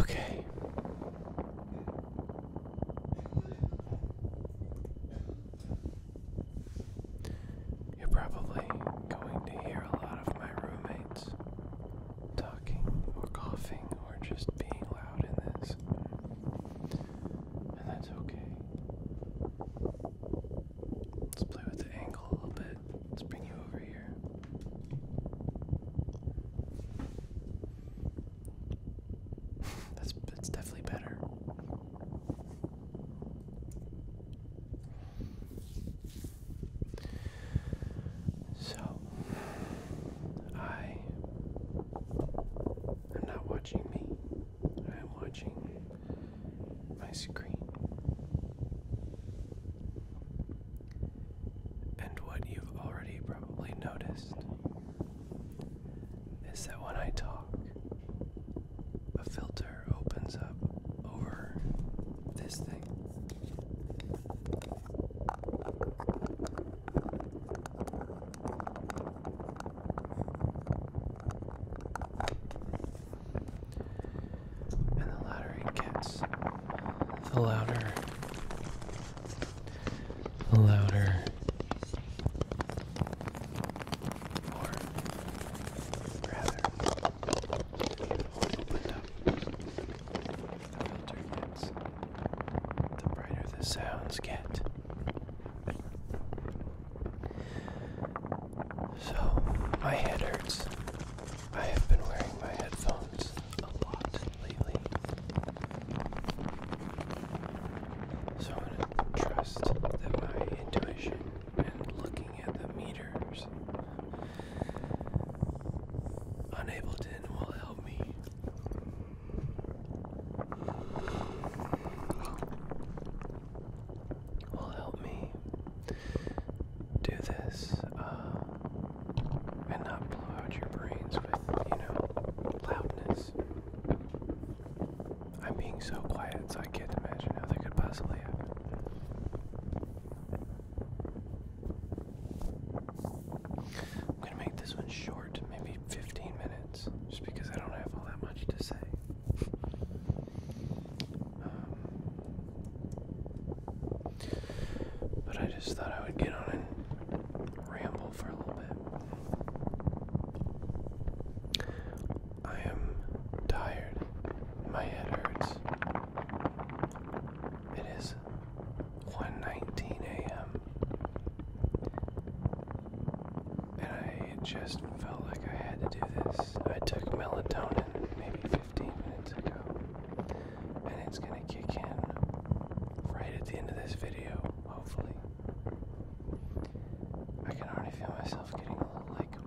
Okay. You're probably going to hear a lot of my roommates talking or coughing or just being loud in this. And that's okay. Let's play with the angle a little bit. Let's bring you over here. that's that's definitely better. So I am not watching me. I am watching my screen. And what you've already probably noticed is that when I talk, a filter opens up over this thing. And the louder it gets, the louder, the louder, or rather, opened up the brighter the sounds get. So, my head hurts. I have been wearing my headphones a lot lately. So, I'm going to trust that my intuition and looking at the meters on Ableton will help me. Will help me do this uh, and not blow out your brains with, you know, loudness. I'm being so quiet, so I can't imagine how they could possibly happen. I'm gonna make this one short, maybe 15 minutes, just because I don't have all that much to say. Um, but I just thought I would get on and ramble for a little bit. I am tired. My head hurts. It is 1:19 a.m. And I just felt like I had to do this. I took melatonin maybe 15 minutes ago. And it's going to kick in right at the end of this video, hopefully. I can already feel myself getting a little like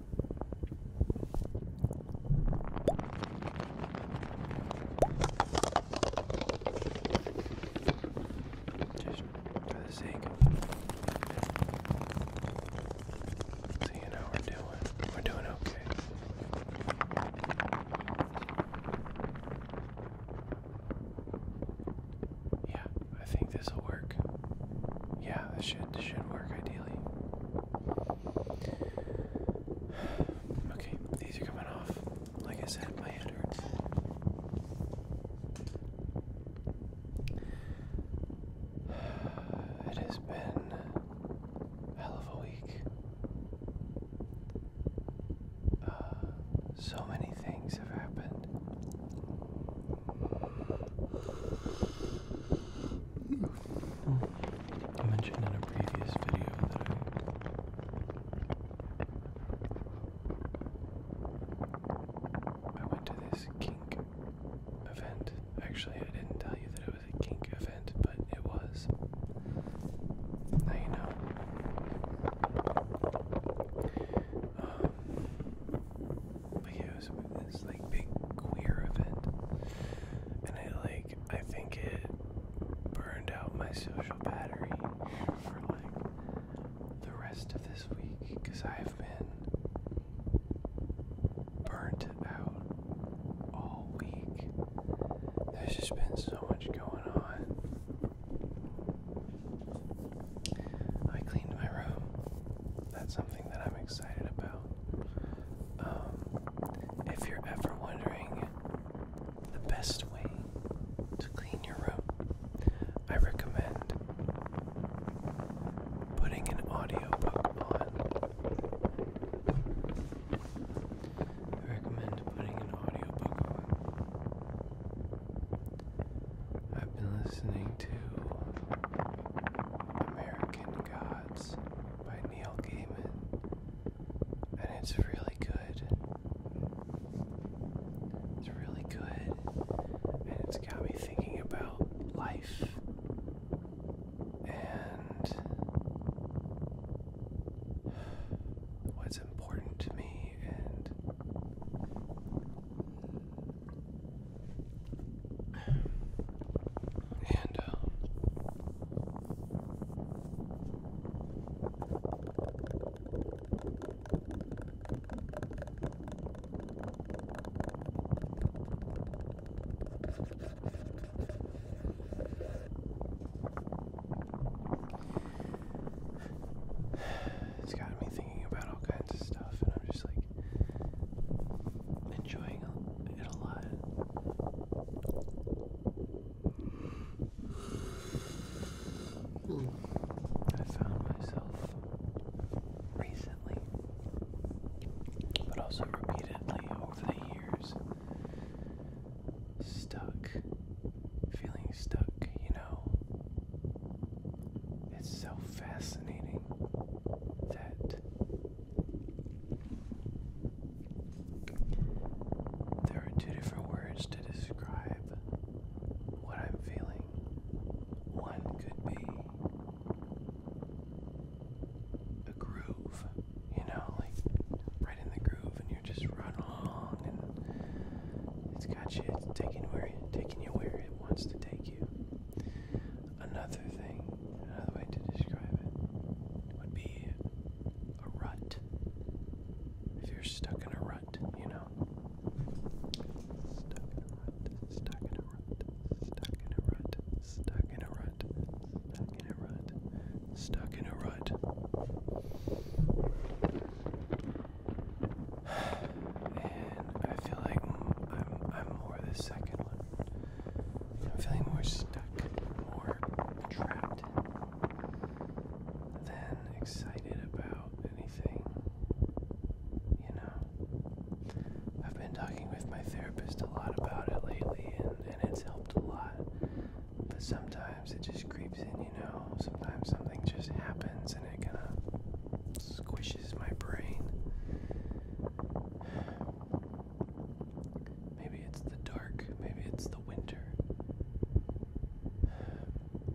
Just for the sake of seeing how we're doing. We're doing okay. Yeah, I think this will work. Yeah, this should this should work ideally. Okay, these are coming off. Like I said, my head hurts. It has been hell of a week. Uh, so many things have happened. I mentioned in a previous video that I went to this kink event. Actually, I didn't tell you that it was a kink event, but it was. Now you know. Um, but it was this like big queer event, and it like I think it burned out my social battery for like the rest of this week because I've been burnt out all week. There's just been so much going on. I cleaned my room. That's something that I'm excited about. Um, if you're ever wondering the best way to clean your room, I recommend putting an audiobook on. I recommend putting an audiobook on. I've been listening to American Gods by Neil Gaiman, and it's really good. It's really good, and it's got me thinking about life and what's important to me and and um, it's got me thinking about all kinds of stuff, and I'm just like, enjoying it a lot. I found myself recently, but also repeatedly over the years, stuck, feeling stuck, you it's so fascinating that there are two different words to describe what I'm feeling. One could be a groove, you know, like right in the groove, and you're just running along, and it's got you, it's taking where, taking you where it it wants to take you. Another thing, another way to describe it would be a rut. If you're stuck in a rut, you know. Stuck in a rut, stuck in a rut, stuck in a rut, stuck in a rut, stuck in a rut, stuck in a rut and I feel like I'm, I'm more the second one. I'm feeling more stuck, more trapped than excited about anything. You know, I've been talking with my therapist a lot about it lately, and, and it's helped a lot. But sometimes it just creeps in, you know. Sometimes something just happens and it kind of squishes my brain. Maybe it's the dark, maybe it's the winter.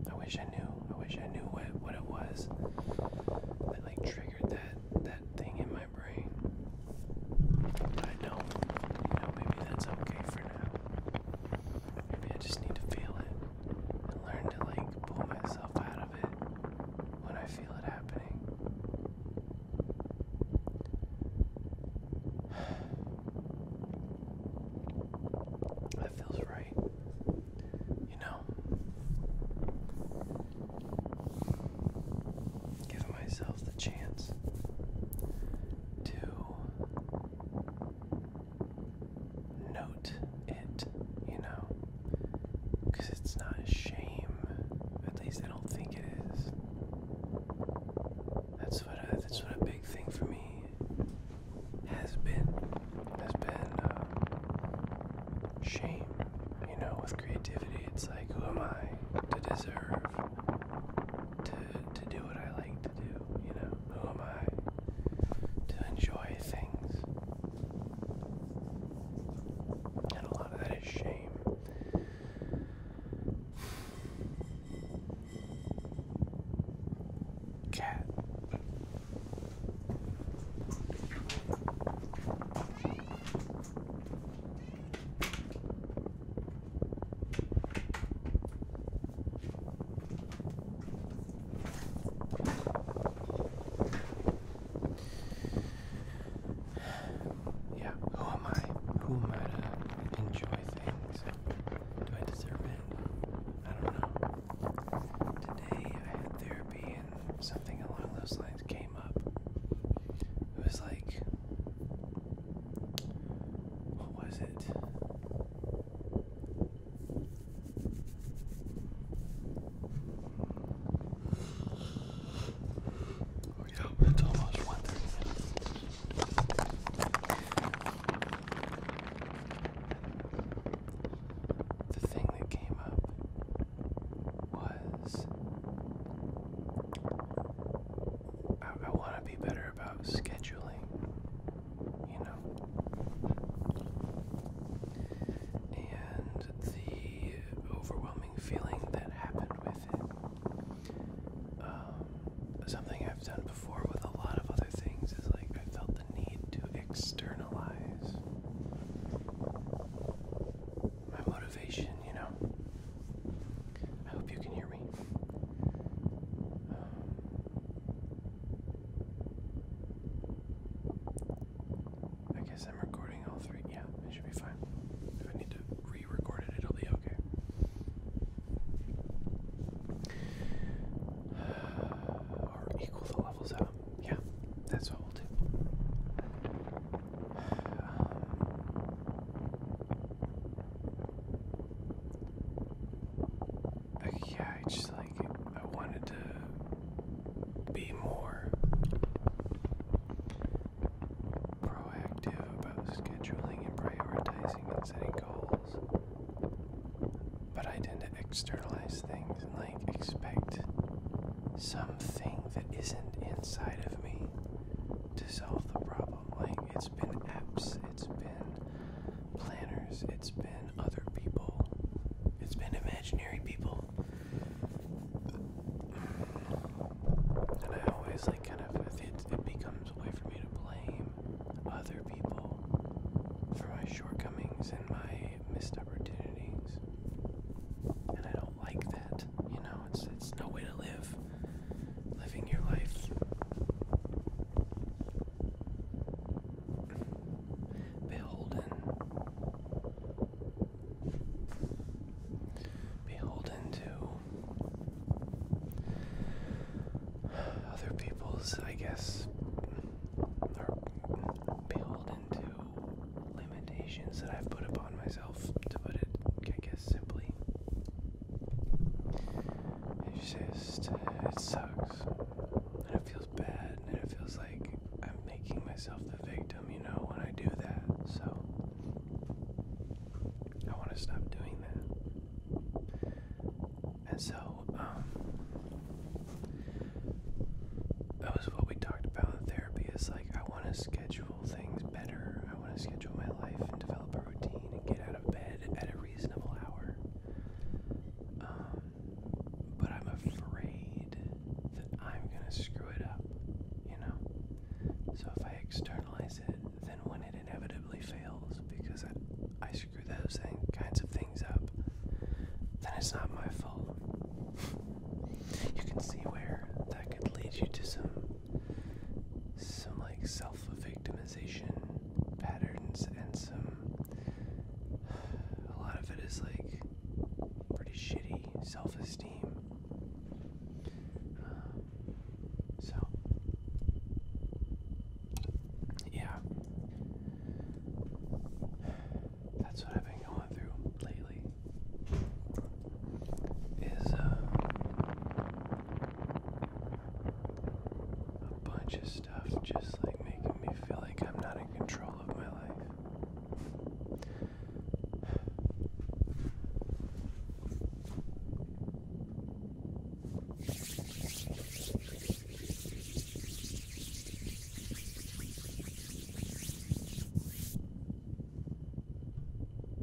I wish I knew. I wish I knew what what it was that like triggered that that thing in my brain. I don't. You know, maybe that's okay for now. Maybe I just need to feel it and learn to like pull myself out of it when I feel it happening. That feels right. You know, give myself the chance to note it, you know, because it's not shame. At least I don't think it is. That's what a, uh, that's what a big thing for me has been has been uh, shame. You know, with creativity, it's like, who am I to deserve to to do what I like to you know, who am I to enjoy things? And a lot of that is shame. Cat. Yeah, who am I? Who am I to enjoy things? Do I deserve it? I don't know. Today I had therapy and something along those lines came up. It was like, what was it? Oh yeah, it's almost 1.30. The thing that came up was I want to be better about scheduling you know. And the overwhelming feeling that happened with it. Um, something I've done before with a lot of other things is like I felt the need to externalize my motivation, you know. I hope you can hear me. Um, I guess I'm recording all three. Yeah, it should be fine. If I need to re record it, it'll be okay. Or equal the levels out. Yeah, that's what we'll do. Um, yeah, I just like I wanted to be more proactive about scheduling and prioritizing and setting goals. But I tend to externalize things and like expect something that isn't inside of me to solve the problem. Like it's been apps, it's been planners, it's been other people, it's been imaginary people. And I always like kind of it, it becomes a way for me to blame other people for my shortcomings and my missed opportunities. And I don't like that. You know, it's it's no way to live living your life. Beholden. Beholden to other people's, I guess, or beholden to limitations that I've put upon myself, to put it, I guess, simply. It's just, it sucks. And it feels bad, and it feels like I'm making myself the victim, you know, when I do that. So, I want to stop doing that. And so, um, that was what we talked about in therapy is like, I want to schedule things better. I want to schedule my life and develop a routine and get out of bed at a reasonable hour. Um, but I'm afraid that I'm gonna screw it up, you know? So if I externalize it, then when it inevitably fails because I, screw those kinds of things up, then it's not my fault. you can see where that could lead you to some some like self-victimization patterns and some a lot of it is like pretty shitty self-esteem um, so yeah that's what I've been going through lately is uh, a bunch of stuff just like making me feel like I'm not in control of my life.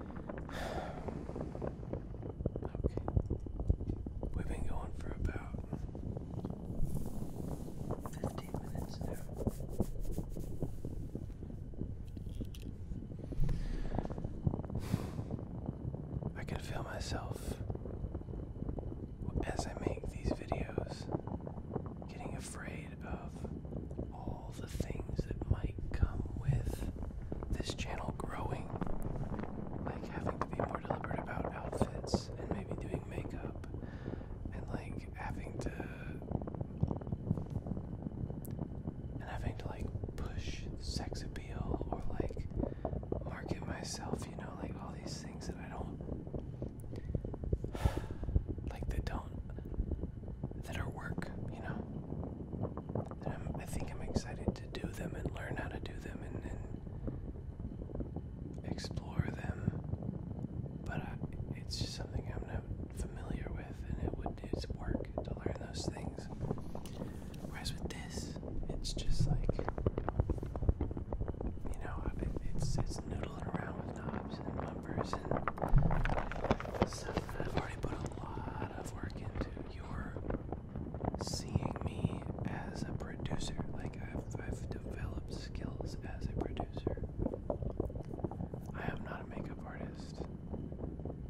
Okay. We've been going for about 15 minutes now. I can feel myself as I make these videos getting afraid of all the things that might come with this channel growing, like having to be more deliberate about outfits and maybe doing makeup and like having to and having to like push sex appeal or like market myself, you know, like all these things that I don't like They don't that are work, you know. And I'm, I think I'm excited to do them and learn how to do them and, and explore them. But it's just something I'm not familiar with, and it would it's work to learn those things. Whereas with this, it's just like you know, it's it's noodling around with knobs and bumpers and stuff that I've already put a a lot of work into. you seeing me as a producer. Like I've developed skills as a producer. I am not a makeup artist.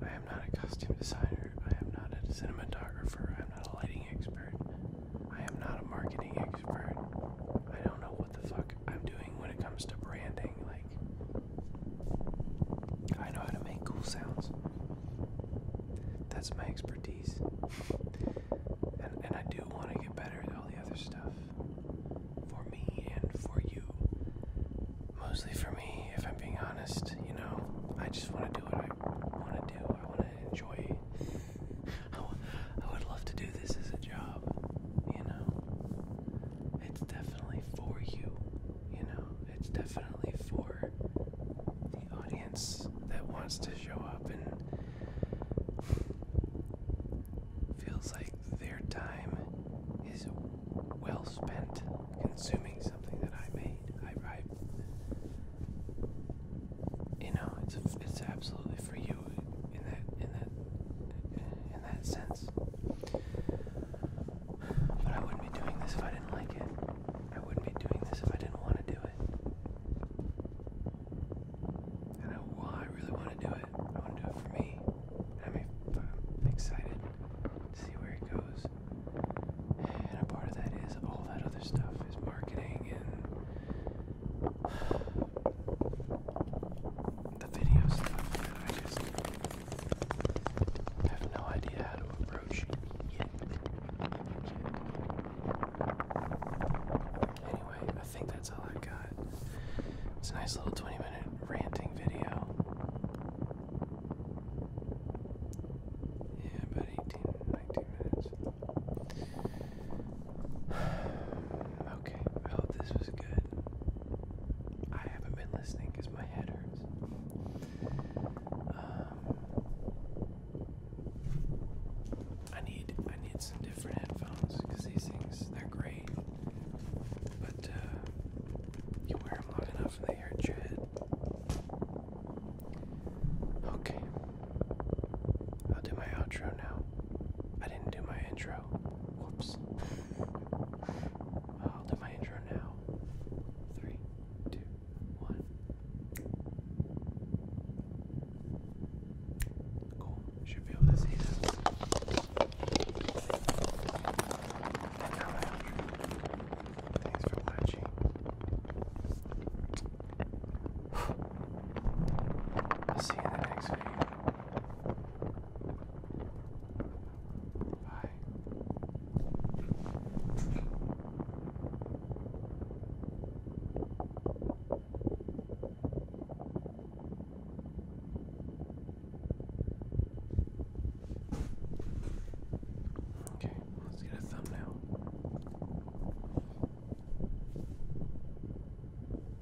I am not a costume designer. I am not a cinematographer. I am not a lighting expert. I am not a marketing expert. I don't know what the fuck I'm doing when it comes to branding. Like, I know how to make cool sounds. That's my expertise. and, I do want to get better at all the other stuff. For me and for you. Mostly for me, if I'm being honest, you know. I just want to do what I want to do. I want to enjoy I would love to do this as a job, you know it's definitely for you, you know, it's definitely for the audience that wants to show up and feels like their time is well spent consuming something that I made. I, write. you know, it's it's absolutely for you in that in that in that sense. But I wouldn't be doing this if I didn't like it. I wouldn't be doing this if I didn't want to do it. And I, well, I really want to do it. I want to do it for me. am I'm excited to see where it goes. And a part of that is all that other stuff is marketing and the video stuff I just have no idea how to approach yet. Anyway, I think that's all i got. It's a nice little 20 minute ranting video. Yeah, about 18, 19 minutes. Okay, I hope this was good. I haven't been listening because my head hurts. Um, I need I need some different headphones because these things they're great, but uh, you wear them long enough and they hurt your head. Okay, I'll do my outro now. I didn't do my intro. I'll do my intro now. Three, two, one. Cool. Should be able to see this. Thanks for watching. see you in the next video. Okay, let's get a thumbnail.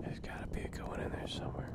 There's got to be a good one in there somewhere.